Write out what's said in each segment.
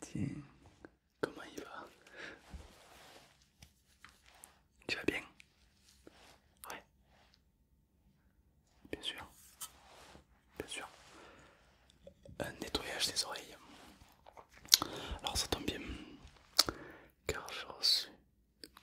Tiens, comment il va Tu vas bien Ouais. Bien sûr. Bien sûr. Un nettoyage des oreilles. Alors ça tombe bien. Car j'ai reçu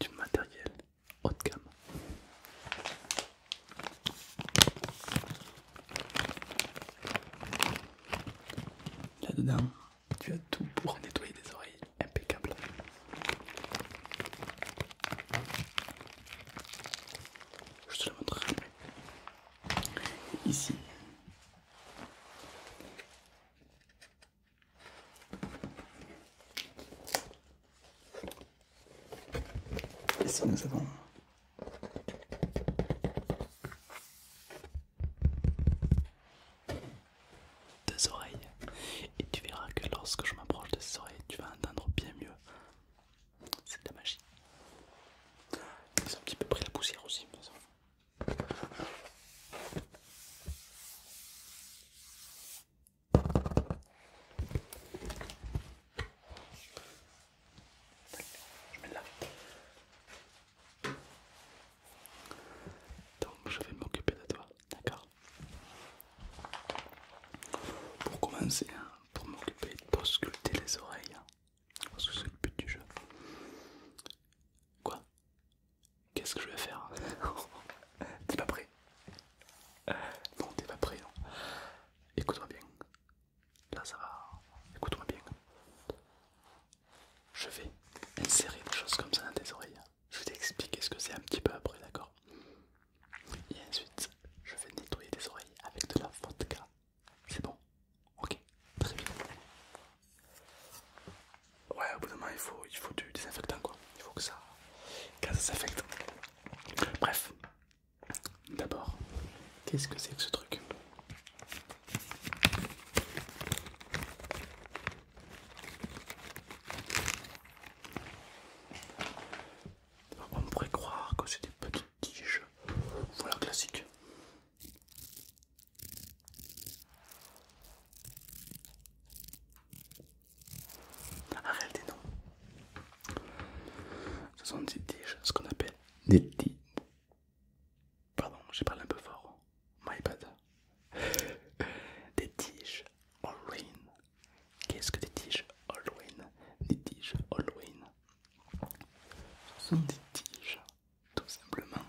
du matériel haut de gamme. Là-dedans, tu as tout pour nettoyer des oreilles impeccables. Je te le montrerai Ici, ici nous avons deux oreilles. Et tu verras que lorsque je m'approche de ces oreilles, tu vas entendre bien mieux. C'est de la magie. Ils ont un petit peu pris la poussière aussi, mais je mets là. Donc je vais m'occuper de toi, d'accord Pour commencer, hein, pour m'occuper de posculter les oreilles, hein. parce que c'est le but du jeu. Quoi Qu'est-ce que je vais faire hein T'es pas prêt Non, t'es pas prêt, non. Écoute-moi bien, Là, ça va. Écoute-moi bien. Je vais insérer des choses comme ça dans tes oreilles. Je vais t'expliquer ce que c'est un petit peu après, d'accord Et ensuite, je vais nettoyer tes oreilles avec de la vodka. C'est bon Ok, très bien. Ouais, au bout d'un moment, il faut, il faut du désinfectant, quoi. Il faut que ça, s'infecte Bref, d'abord, qu'est-ce que c'est que ce truc on pourrait croire que c'est des petites tiges, voilà classique. En réalité, non. Ce sont des tiges, ce qu'on appelle des tiges. Pardon, j'ai parlé un peu fort. My bad. Des tiges Halloween. Qu'est-ce que des tiges Halloween Des tiges Halloween. Ce sont des tiges, tout simplement,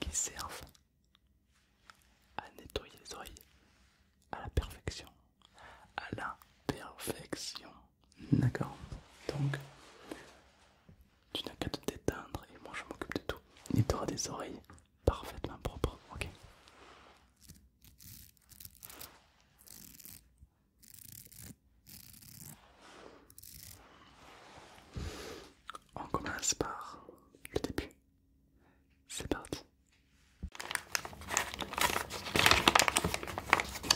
qui servent à nettoyer les oreilles à la perfection. À la perfection. D'accord. Donc, tu n'as qu'à te détendre et moi je m'occupe de tout. Et tu des oreilles parfaitement propres, ok On commence par le début. C'est parti.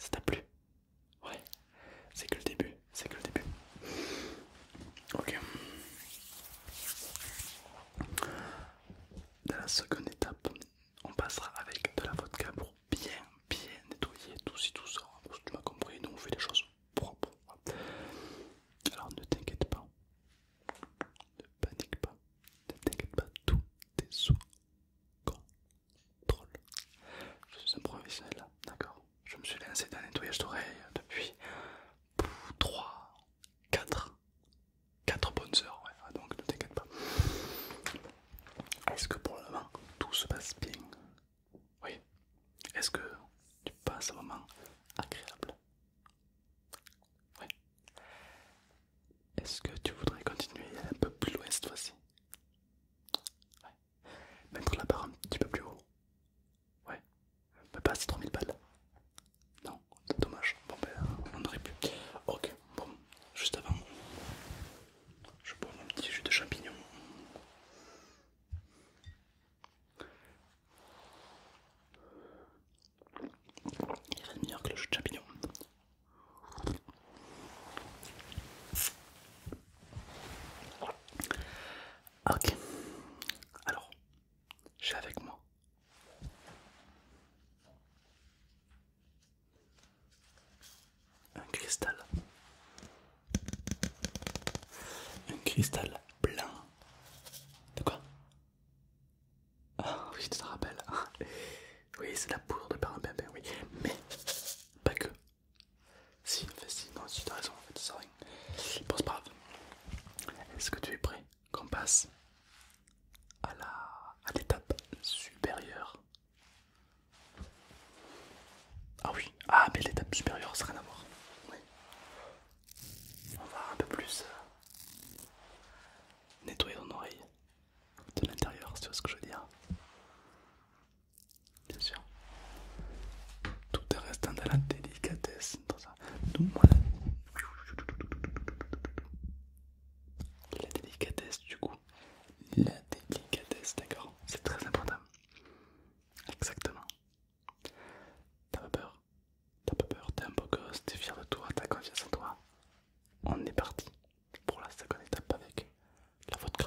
Ça t'a plu Ouais, c'est que le début, c'est que le début. Ok. De la seconde étape, on passera avec de la vodka pour bien bien nettoyer tout si tout ça. Tu m'as compris, nous on fait les choses propres. Alors ne t'inquiète pas, ne panique pas, ne t'inquiète pas, tout est sous contrôle. Je suis un professionnel là, d'accord Je me suis lancé dans le nettoyage d'oreilles depuis 3, 4 4 bonnes heures, ouais. Ah, donc ne t'inquiète pas. Est-ce que pour le moment tout se passe bien Oui. Est-ce que tu passes un moment agréable Oui. Est-ce que tu voudrais continuer un peu plus loin cette fois-ci Ouais. Mettre la barre un petit peu plus haut Ouais. on pas passer 3000 balles. Non, c'est dommage. Bon ben, on aurait pu. Ok, bon, juste avant, je bois mon petit jus de champignon Il rien de meilleur que le jus de champignon Ok, alors j'ai avec moi un cristal. Un cristal blanc. De quoi Ah oui, tu te rappelles. Oui, c'est la poudre de Périmbinbin, oui. Mais pas que. Si, si, non, si tu as raison, en fait, ça rien. Bon, c'est pas grave. Est-ce que tu es prêt qu'on passe à l'étape supérieure. Ah oui, ah mais l'étape supérieure ça n'a rien à voir. On va un peu plus euh, nettoyer ton oreille de l'intérieur, tu vois ce que je veux dire. Bien sûr. Tout est restant dans la délicatesse, la délicatesse du coup. La délicatesse, d'accord C'est très important. Exactement. T'as pas peur T'as pas peur T'es un beau gosse, t'es fier de toi, t'as confiance en toi. On est parti pour la seconde étape avec la vodka.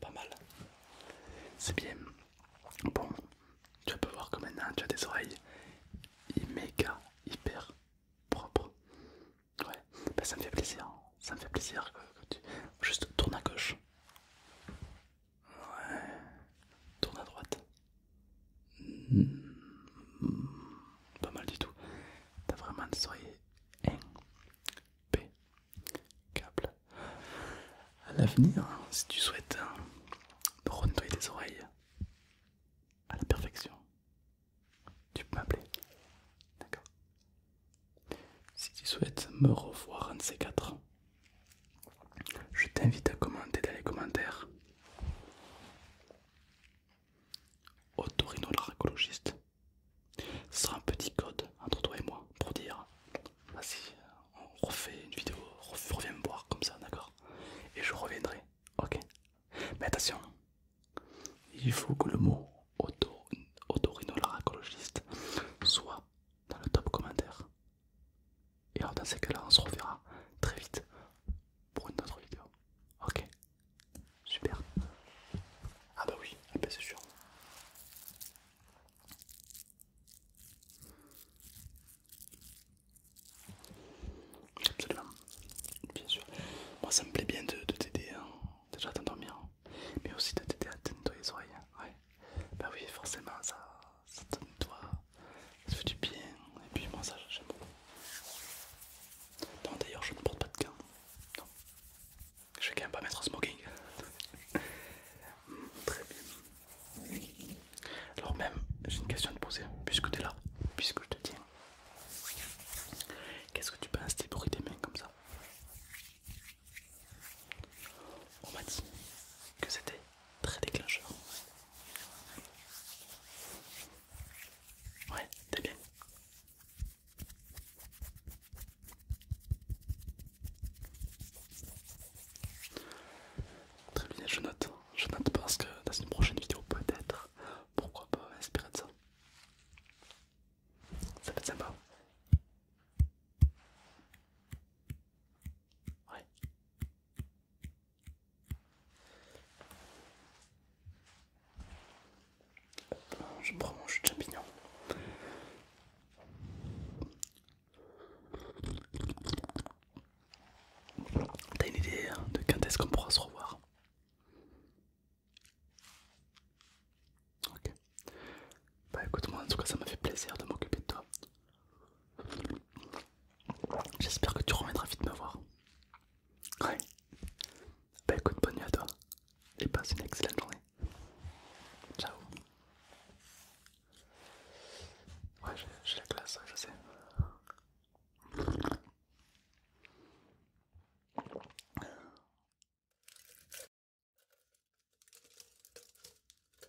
Pas mal. C'est bien. Bon, tu peux voir que maintenant tu as des oreilles méga hyper propres. Ouais, ben, ça me fait plaisir. Hein. Ça me fait plaisir tu... Juste tourne à gauche. Ouais. Tourne à droite. Hmm. Pas mal du tout. T'as vraiment des oreilles câble. À l'avenir, si tu souhaites hein, rentoyer tes oreilles à la perfection, tu peux m'appeler. D'accord Si tu souhaites me revoir en de ces quatre, je t'invite à commenter dans les commentaires. autorino Ce sera un petit code entre toi et moi pour dire vas-y, on refait une vidéo, reviens me voir comme ça, d'accord Et je reviendrai, ok Mais attention, il faut que le mot auto, soit dans le top commentaire. Et alors dans ces cas-là, on se reverra très vite pour une autre vidéo. Ok Super. Ah bah oui, ah bah c'est sûr. Absolument. Bien sûr. Moi ça me plaît bien de, t'aider hein. déjà à t'endormir, hein. mais aussi de t'aider à te nettoyer les oreilles. Hein. Bah oui, forcément ça ça donne toi, ça fait du bien, et puis moi ça j'aime beaucoup. Non d'ailleurs je ne porte pas de gants, non. Je vais quand même pas mettre un smoking. Très bien. Alors même, j'ai une question à te poser, puisque tu es là, puisque je te tiens. Qu'est-ce que tu penses des bruits des mains comme ça On m'a que c'était très déclencheur. Ouais, t'es bien. Très bien, je note. Je note parce que dans une prochaine vidéo, peut-être, pourquoi pas inspirer de ça. Ça peut être sympa. Ouais. Je prends mon jus de champignon. T'as une idée hein, de quand est-ce qu'on pourra se revoir Ok. Bah écoute moi en tout cas ça m'a fait plaisir de m'occuper de toi. J'espère que tu remettras vite me voir. Ouais. Bah écoute, bonne nuit à toi. Et passe une excellente journée. Ciao. Ouais, j'ai la classe, je sais.